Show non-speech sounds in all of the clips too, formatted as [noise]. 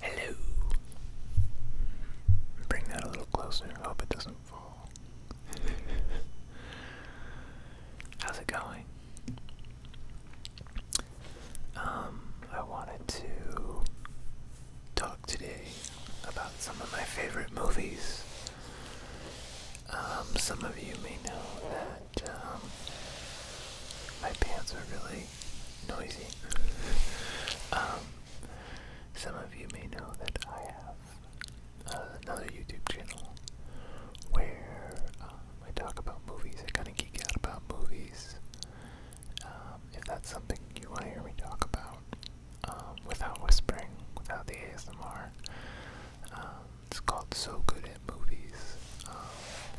Hello. Bring that a little closer. hope it doesn't fall. [laughs] How's it going? Um, I wanted to talk today about some of my favorite movies. Um, some of you may know that um, my pants are really noisy. [laughs] Um, some of you may know that I have uh, another YouTube channel where I talk about movies. I kind of geek out about movies. if that's something you want to hear me talk about without whispering, without the ASMR, um, it's called So Good at Movies. Um,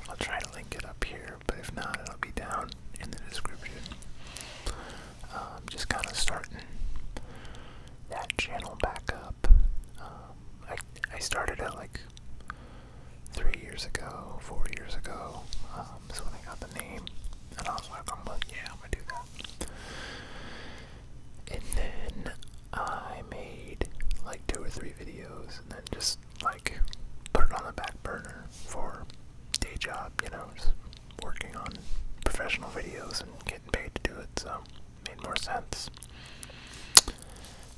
I'll try to link it up here, but if not, it'll be down in the description. Um, just kind of starting that channel back up. I, I started it like three years ago, four years ago. Um, when I got the name, and I was like, I'm like, yeah, I'm gonna do that. And then I made like two or three videos and then just like put it on the back burner for day job, you know, just working on professional videos and getting paid to do it, so it made more sense.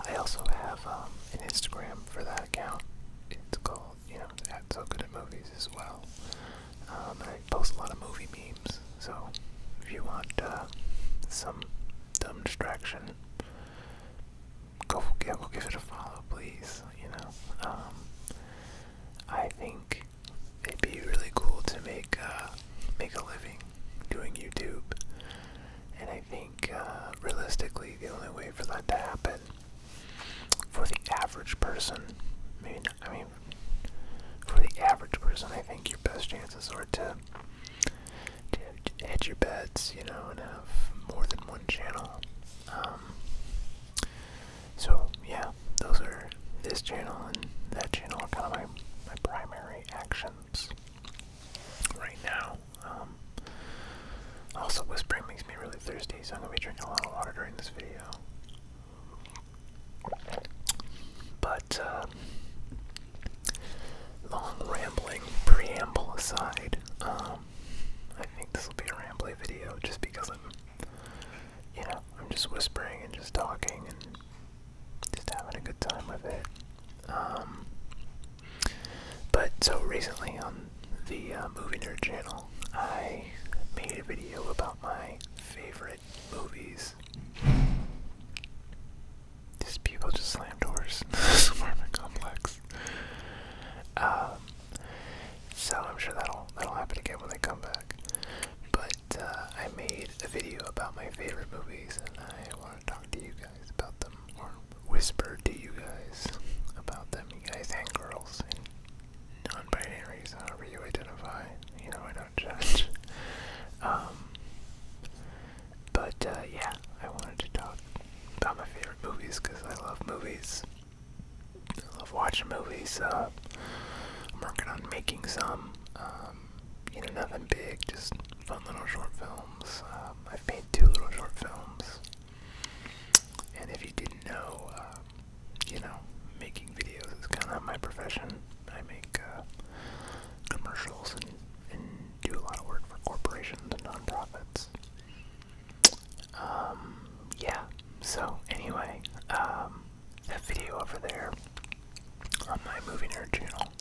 I also have um, an Instagram for that account. It's called, you know, at So Good at Movies as well. Um, I post a lot of movie memes, so, if you want uh, some dumb distraction, go for it. We'll give it a follow, please. You know, um, I think it'd be really cool to make uh, make a living doing YouTube, and I think uh, realistically, the only way for that to happen for the average person, I mean, I mean, for the average person, I think your best chances are to, to hedge your bets, you know, and have more than one channel. Um, so, yeah, those are this channel and that channel are kind of my, my primary actions right now. Um, also, whispering makes me really thirsty, so I'm going to be drinking a lot of water during this video. But uh, long rambling preamble aside, um, I think this will be a rambly video just because I'm, you know, I'm just whispering and just talking and just having a good time with it. Um, but so recently on the uh, Movie Nerd channel, I made a video about my favorite movies Jeez. These people just slam doors in [laughs] this apartment complex. Um, so I'm sure that'll that'll happen again when they come back. But uh, I made a video about my favorite movies, and I want to talk to you guys about them, or whisper to you guys about them, you guys and girls and non-binaries, however you identify. You know, I know don't judge. Um, but uh, yeah, I wanted to talk about my favorite movies because I love movies. I love watching movies. Uh, I'm working on making some. Um, you know, nothing big, just fun little short films. Um, I've made two little short films. And if you didn't know, uh, you know, making videos is kind of my profession. I make uh, commercials and, do a lot of work for corporations and nonprofits. Um, yeah, so anyway, um, that video over there on my Movie Nerd channel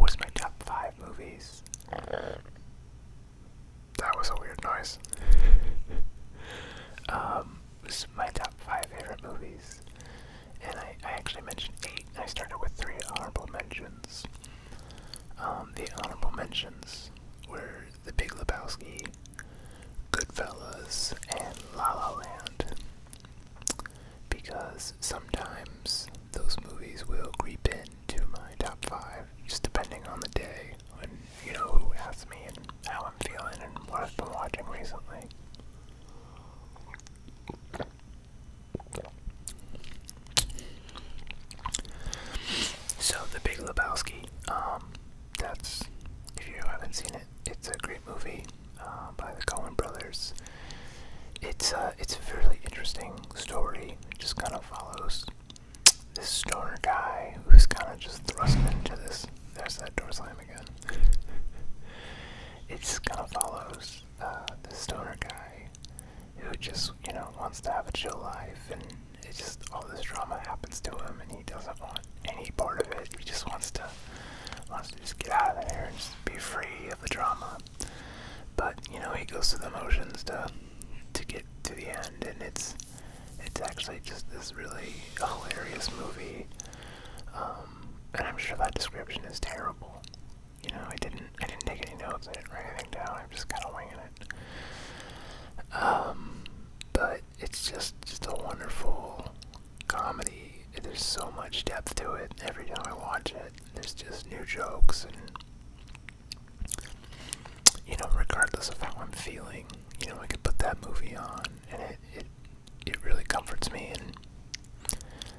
was my top five movies. That was a weird noise. [laughs] um, was my top five favorite movies, and I, actually mentioned eight. I started with three honorable mentions. Um, the honorable mentions were The Big Lebowski, Goodfellas, and La La Land, because sometimes those movies will creep into my top five, just depending on the day and you know who asked me and how I'm feeling and what I've been watching recently. So, The Big Lebowski, um, that's, if you haven't seen it, it's a great movie uh, by the Coen brothers. It's, uh, it's a really interesting story. It just kind of follows this stoner guy who's kind of just thrust into this. There's that door slam again it's kind of follows uh, the stoner guy who just you know wants to have a chill life, and it's just all this drama happens to him, and he doesn't want any part of it. He just wants to wants to just get out of there and just be free of the drama. But you know he goes through the motions to to get to the end, and it's it's actually just this really hilarious movie um, and I'm sure that description is terrible. You know, I didn't, I didn't take any notes. I didn't write anything down. I'm just kind of winging it. Um, but it's just, just a wonderful comedy. There's so much depth to it. Every time I watch it, there's just new jokes and, you know, regardless of how I'm feeling, you know, I could put that movie on and it, it it really comforts me and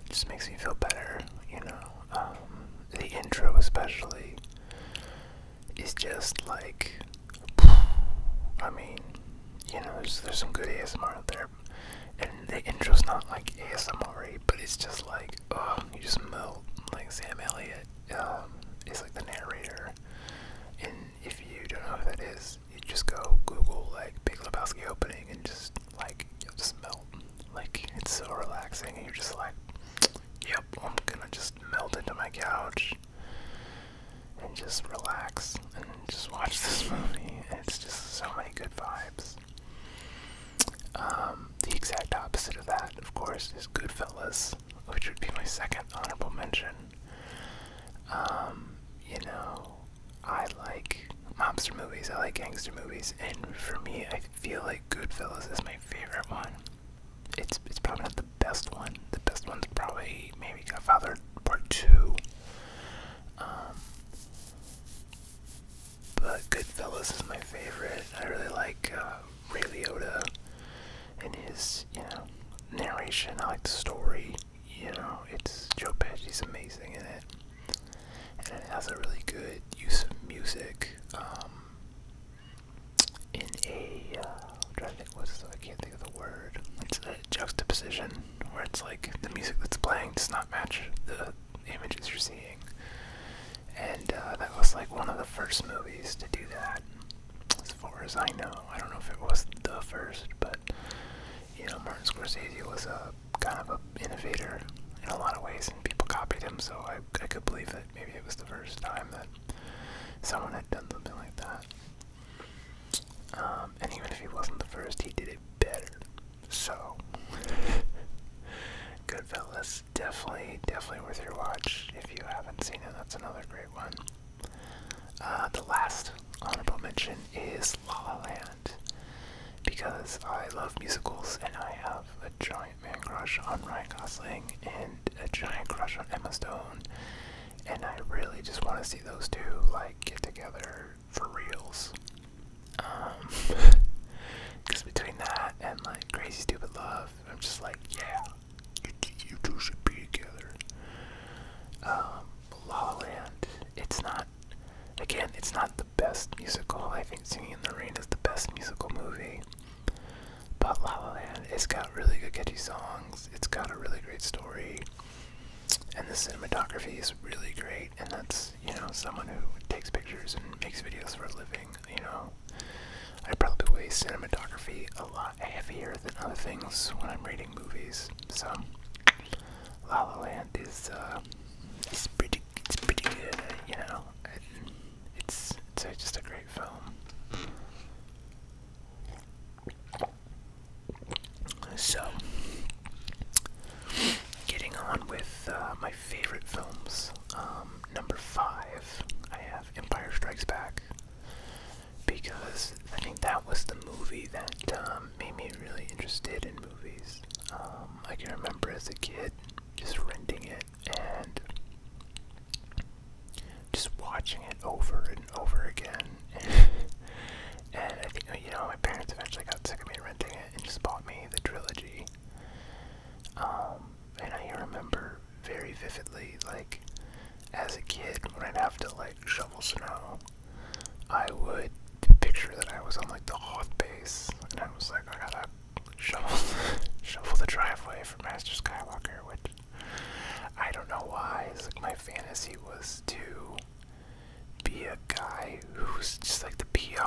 just makes me feel better, you know. Um, the intro, especially, is just like, I mean, you know, there's, there's some good ASMR out there, and the intro's not like ASMR, but it's just like, oh, you just melt. Like Sam Elliott um, is like the narrator, and if you don't know who that is, you just go Google like Big Lebowski opening and just like you'll just melt. Like it's so relaxing and you're just like, yep, I'm gonna just melt into my couch and just relax and just watch this [laughs] movie. It's just so many good vibes. Um, the exact opposite of that, of course, is Goodfellas, which would be my second honorable mention. Um, you know, I like mobster movies, I like gangster movies, and for me, I feel like Goodfellas is my favorite one. It's it's probably not the best one. The best one's probably maybe Godfather Part Two. Um, but Goodfellas is my favorite. I really like uh, Ray Liotta and his you know narration. I like the story you know, it's Joe Pesci's amazing in it, and it has a really good use of music. Um, in a, uh, I'm trying to think what's the, I can't think of the word. It's a juxtaposition where it's like the music that's playing does not match the images you're seeing, and uh, that was like one of the first movies to do that, as far as I know. I don't know if it was the first, but you know, Martin Scorsese was a kind of an innovator in a lot of ways, and people copied him. So I, I could believe that maybe it was the first time that someone had done something like that. Um, and even if he wasn't the first, he did it better. So, [laughs] Goodfellas, definitely, definitely worth your watch if you haven't seen it. That's another great one. Uh, the last honorable mention is La La Land because I love musicals and I have a giant man crush on Ryan Gosling and a giant crush on Emma Stone, and I really just want to see those two like get together for reals. Um, because [laughs] between that and like Crazy Stupid Love, I'm just like, yeah, you, two should be together. Um, La La Land, it's not Again, it's not the best musical. I think Singing in the Rain is the best musical movie. But La La Land, it's got really good catchy songs. It's got a really great story. And the cinematography is really great. And that's, you know, someone who takes pictures and makes videos for a living, you know. I probably weigh cinematography a lot heavier than other things when I'm rating movies. So, La La Land band uh, pretty it's pretty good, you know. It's it's just a great film. So, getting on with uh, my favorite films, um, number five, I have Empire Strikes Back because I think that was the movie that. Um, um, made me really interested in movies. Um, I can remember as a kid just renting it and just watching it over and over again. [laughs] and I think, you know, my parents eventually got sick of me renting it and just bought me the trilogy. Um, and I remember very vividly, like, as a kid, when I'd have to, like, shovel snow I would picture that I was on like the hoth base, and I was like, I gotta shovel, [laughs] shovel the driveway for Master Skywalker, which I don't know why. It's like my fantasy was to be a guy who's just like the peon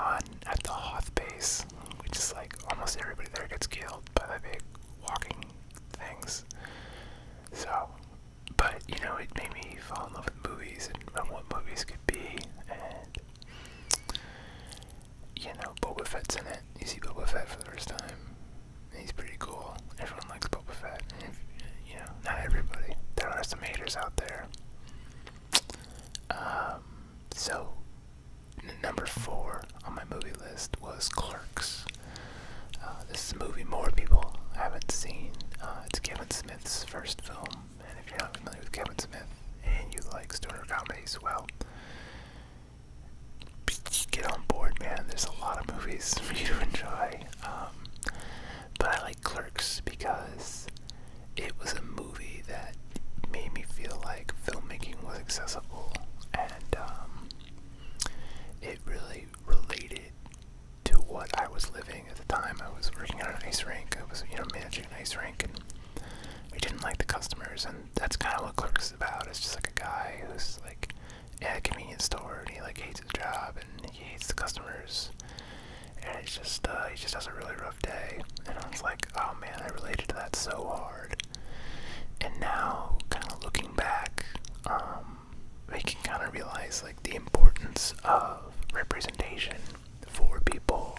at the Hoth base, which is like almost everybody there gets killed by the big walking things. So but you know, it made me fall in love with movies and, what movies could be, and you know, Boba Fett's in it. You see Boba Fett for the first time. he's pretty cool. Everyone likes Boba Fett. you know, not everybody. There are some haters out there. Um, so, number four on my movie list was Clerks. Uh, this is a movie more people haven't seen. Uh, it's Kevin Smith's first film and if you're not familiar with Kevin Smith and you like stoner comedies, well, get on board, man. There's a lot of movies [laughs] for you to enjoy. Um, but I like Clerks because it was a movie that made me feel like filmmaking was accessible and um, it really related to what I was living at the time. I was working at an ice rink. I was, you know, managing an ice rink, and we didn't like the customers, and that's kind of what Clerks is about. It's just like a guy who's like at a convenience store, and he like hates his job, and he hates the customers, and it's just, uh, he just has a really rough day. And I was like, oh man, I related to that so hard. And now, kind of looking back, um, we can kind of realize like the importance of representation for people.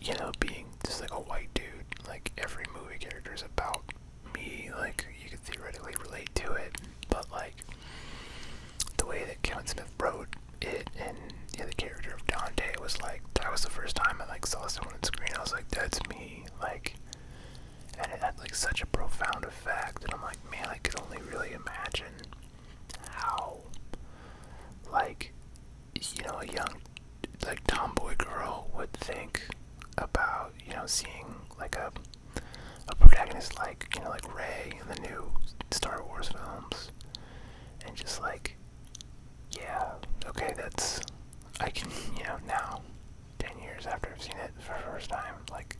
You know, being just like a white dude, like every movie character is about me. Like you could theoretically relate to it, but like the way that Kevin Smith wrote it and the character of Dante was like that was the first time I like saw someone on screen. I was like, that's me. Like, and it had like such a profound effect. And I'm like, man, I could only really imagine how like you know a young like tomboy girl would think about you know seeing like a a protagonist like you know like Rey in the new Star Wars films and just like yeah okay that's I can you know now 10 years after I've seen it for the first time like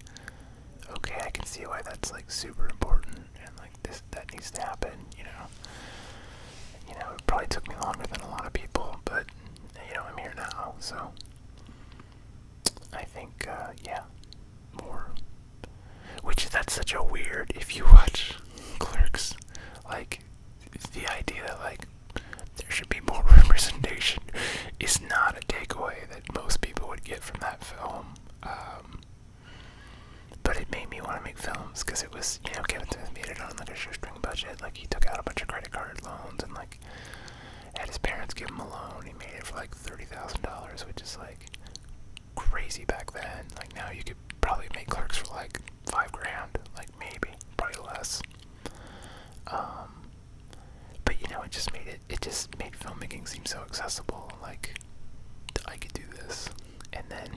okay, I can see why that's like super important and like this that needs to happen, you know. You know, it probably took me longer than a lot of people, but you know, I'm here now, so I think uh yeah, more. Which that's such a weird if you [laughs] watch Clerks, like the idea that like there should be more [laughs] representation is not a takeaway that most people would get from that film. Um, but it made me want to make films because it was, you know, Kevin Smith made it on like a shoestring budget. Like he took out a bunch of credit card loans and like had his parents give him a loan. He made it for like thirty thousand dollars, which is like crazy back then. Like now you could probably make clerks for like five grand, like maybe, probably less. Um, but you know, it just made it it, just made filmmaking seem so accessible. Like, I could do this. And then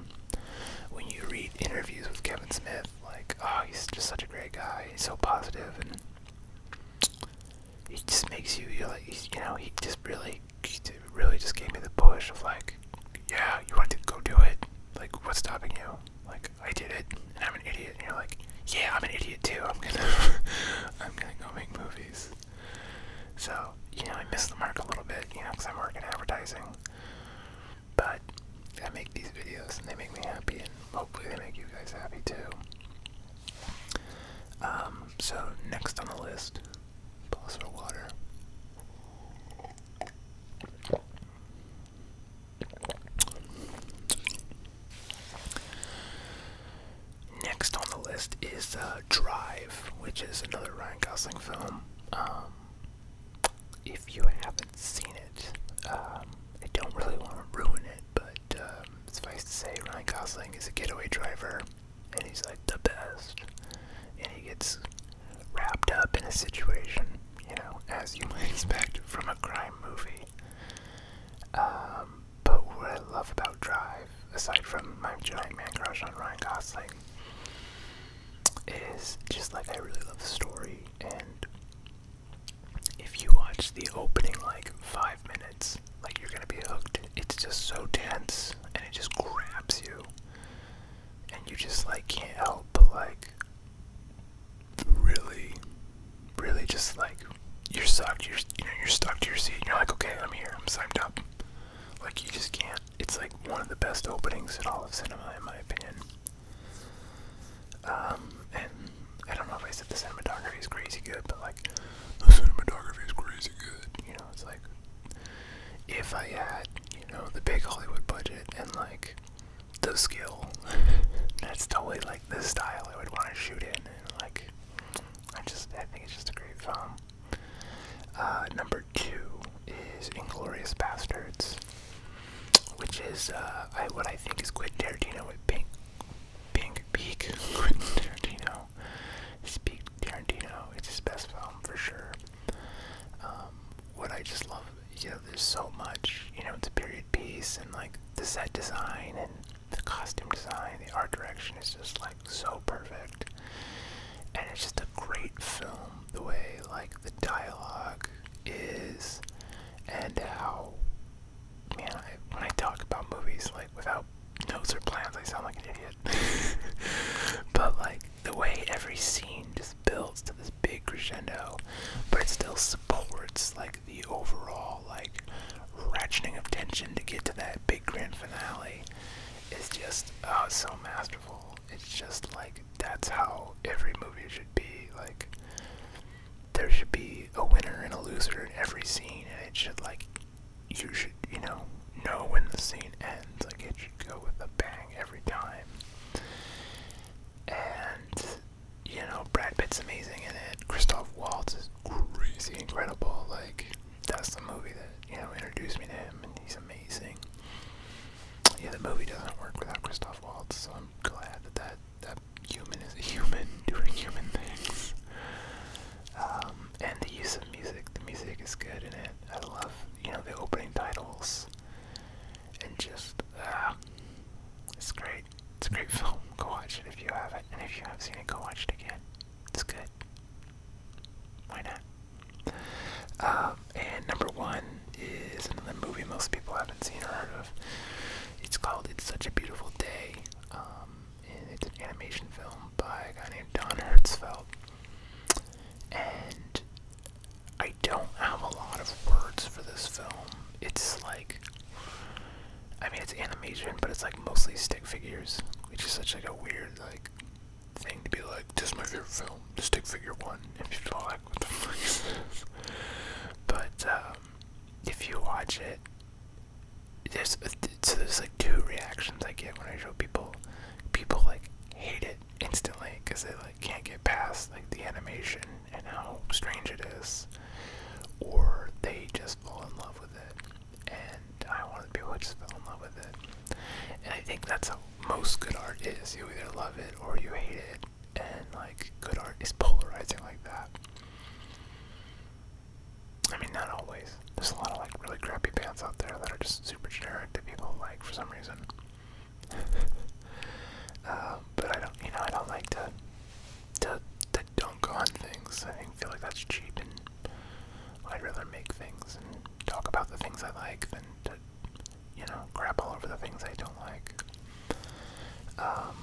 when you read interviews with Kevin Smith, like, oh, he's just such a great guy. He's so positive, and he just makes you, you're like, you know, he just really, really just gave me the push of like, yeah, you want to go do it. Like, what's stopping you? Like, I did it, and I'm an idiot. And you're like, yeah, I'm an idiot too. I'm gonna, [laughs] I'm gonna go make movies. So, you know, I miss the mark a little bit, you know, because I I'm working advertising. But I make these videos and they make me happy, and hopefully they make you guys happy too. Um, so, next on the list, Bosser Water. Next on the list is uh, Drive, which is another Ryan Gosling film. Um, if you haven't seen it, um, I don't really want to ruin it, but um, suffice to say, Ryan Gosling is a getaway driver, and he's like the best. And he gets wrapped up in a situation, you know, as you might [laughs] expect from a crime movie but what I love about Drive, aside from my giant man crush on Ryan Gosling, is just like I really love the story. And if you watch the opening like five minutes, like you're gonna be hooked. It's just so tense, and it just grabs you, and you just like can't help but like really, really just like you're sucked. You're you know you're stuck to your seat. you're like, okay, I'm here. I'm signed up. Like you just can't. It's like one of the best openings in all of cinema, in my opinion. Um, and I don't know if I said the cinematography is crazy good, but like the cinematography is crazy good. You know, it's like if I had you know the big Hollywood budget and like the skill, [laughs] that's totally like the style I would want to shoot in, like I just I think it's just a great film. Uh, number two is Inglorious Bastards, which is uh, what I think is Quentin Tarantino with Pink, Pink Peak. [laughs] Quentin Tarantino, Speak Tarantino. It's his best film for sure. Um, what I just love, you know, there's so much. You know, it's a period piece, and like the set design and the costume design, the art direction is just like so perfect. And it's just a great film the way like the dialogue is and how man I, when I talk about movies like without notes or plans I sound like an idiot. [laughs] but like the way every scene just builds to this big crescendo but it still supports like the overall like ratcheting of tension to get to that big grand finale it's just uh, so masterful. It's just like that's how every movie should be. Like there should be a winner and a loser in every scene, and it should like you should you know know when the scene ends. Like it should go with a bang every time. And you know Brad Pitt's amazing in it. Christoph Waltz is crazy incredible. Like that's the movie that you know introduced me to him, and he's amazing. Yeah, the movie doesn't work without Christoph Waltz, so I'm glad that that, that human is a human [laughs] doing human things. Um, and the use of music, the music is good in it. I love you know the opening titles, and just ah, it's great. It's a great [laughs] film. Go watch it if you haven't, and if you have not seen it, go watch it again. It's good. Why not? Um, and number one is another movie most people haven't seen or heard of. It's called It's Such a Beautiful Day. Um, and it's an animation film by a guy named Don Hertzfeld. And I don't have a lot of words for this film. It's like I mean it's animation, but it's like mostly stick figures, which is such like a weird like thing to be like, this is my favorite film, the stick figure one, and people are like, what the fuck is this? But, um, if you watch it, there's, uh, so there's like two reactions I get when I show people. People like hate it instantly because they like can't get past like the animation and how strange it is, or they just fall in love with it and I wanted people to just fall in love with it. And I think that's how most good art is. You either love it or you hate it. And like good art is polarizing like that. I mean not always. There's a lot of like really crappy bands out there that are just super generic that people like for some reason. [laughs] Uh, but I don't you know, I don't like to to to dunk on things. I feel like that's cheap I'd rather make things and talk about the things I like than to, you know, crap all over the things I don't like. Um,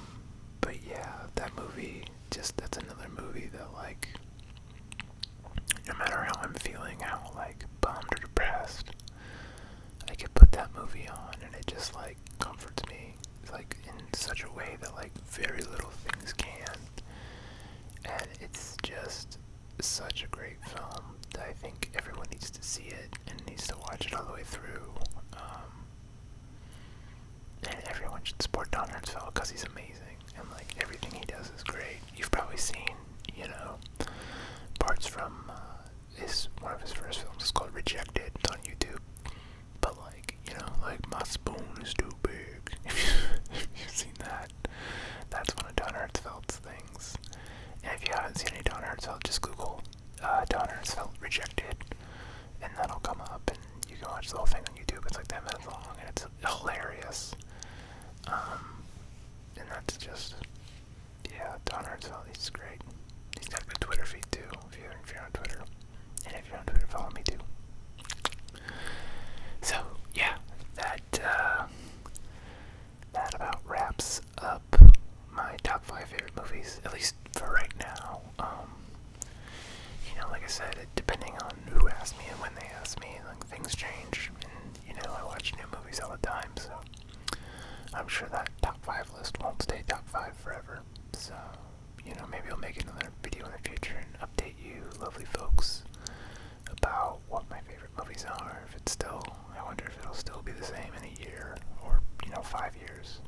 but yeah, that movie, just, that's another movie that, like, no matter how I'm feeling, how, like, bummed or depressed, I could put that movie on and it just, like, comforts me, like, in such a way that, like, very little things can and it's just such a great film that I think everyone needs to see it and needs to watch it all the way through. Um, and everyone should support Don film because he's amazing and like everything he does is great. You've probably seen, you know, parts from uh, his one of his first films It's called Rejected. It's on YouTube. But like, you know, like my spoon is too big. [laughs] if you've seen that, that's one of Don Hertzfeldt's things. if you haven't seen any Don Hertzfeld, just Google uh, Don Hertzfeldt Rejected, and that'll come up, and you can watch the whole thing on YouTube. It's like 10 minutes long, and it's hilarious. Um, and that's just, yeah, Don Hertzfeldt is great. He's got a good Twitter feed, too, if you're on Twitter. And if you're on Twitter, follow me, too. So yeah, that uh, that about wraps up my top five favorite movies, at least for right now. Um, you know, like I said, it, depending on who asked me and when they asked me, like things change, and you know, I watch new movies all the time, so. I'm sure that top five list won't stay top five forever. So, you know, maybe I'll make another video in the future and update you, lovely folks, about what my favorite movies are. If it's still, I wonder if it'll still be the same in a year or, you know, five years.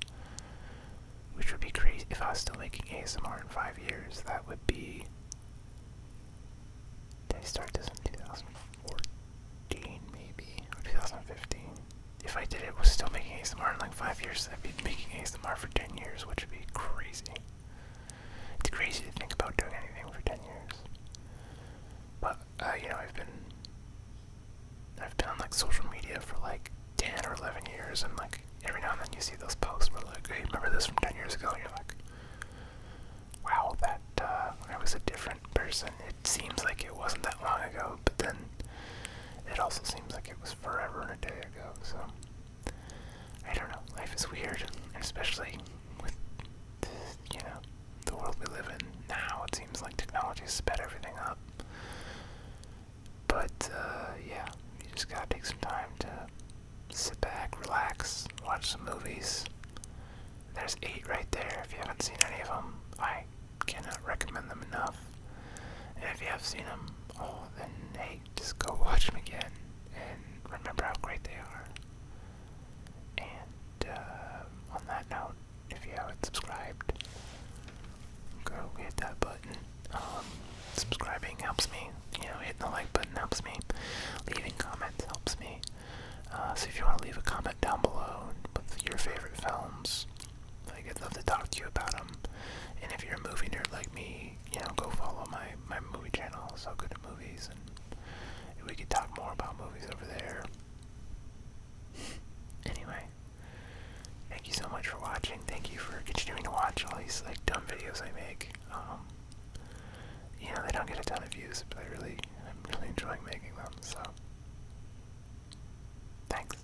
Which would be crazy. If I was still making ASMR in five years, that would be. I start this in 2014, maybe? 2015? If I did it, was still making ASMR in like five years, I'd be making ASMR for 10 years, which would be crazy. It's crazy to think about doing anything for 10 years. But, uh, you know, I've been, I've been on like social media for like 10 or 11 years and like every now and then you see those posts where like, hey, remember this from 10 years ago? And you're like, wow, that, uh, I was a different person. It seems like it wasn't that long ago, but then it also seems like it was forever and a day ago, so. I don't know. Life is weird, especially with you know the world we live in now. It seems like technology's sped everything up. But uh, yeah, you just gotta take some time to sit back, relax, watch some movies. There's eight right there. If you haven't seen any of them, I cannot recommend them enough. And if you have seen them, oh, then just go watch them again and remember how great they are. And uh, on that note, if you haven't subscribed, go hit that button. Um, subscribing helps me. You know, hitting the like button helps me. Leaving comments helps me. Uh, so if you want to leave a comment down below with your favorite films, I'd love to talk to you about them. And if you're a movie nerd like me, you know, go follow my my movie channel. So good at movies, and we can talk more about movies over there. anyway, thank you so much for watching. Thank you for continuing to watch all these like dumb videos I make. Um, you know, they don't get a ton of views, but I really, I'm really enjoying making them. So, thanks.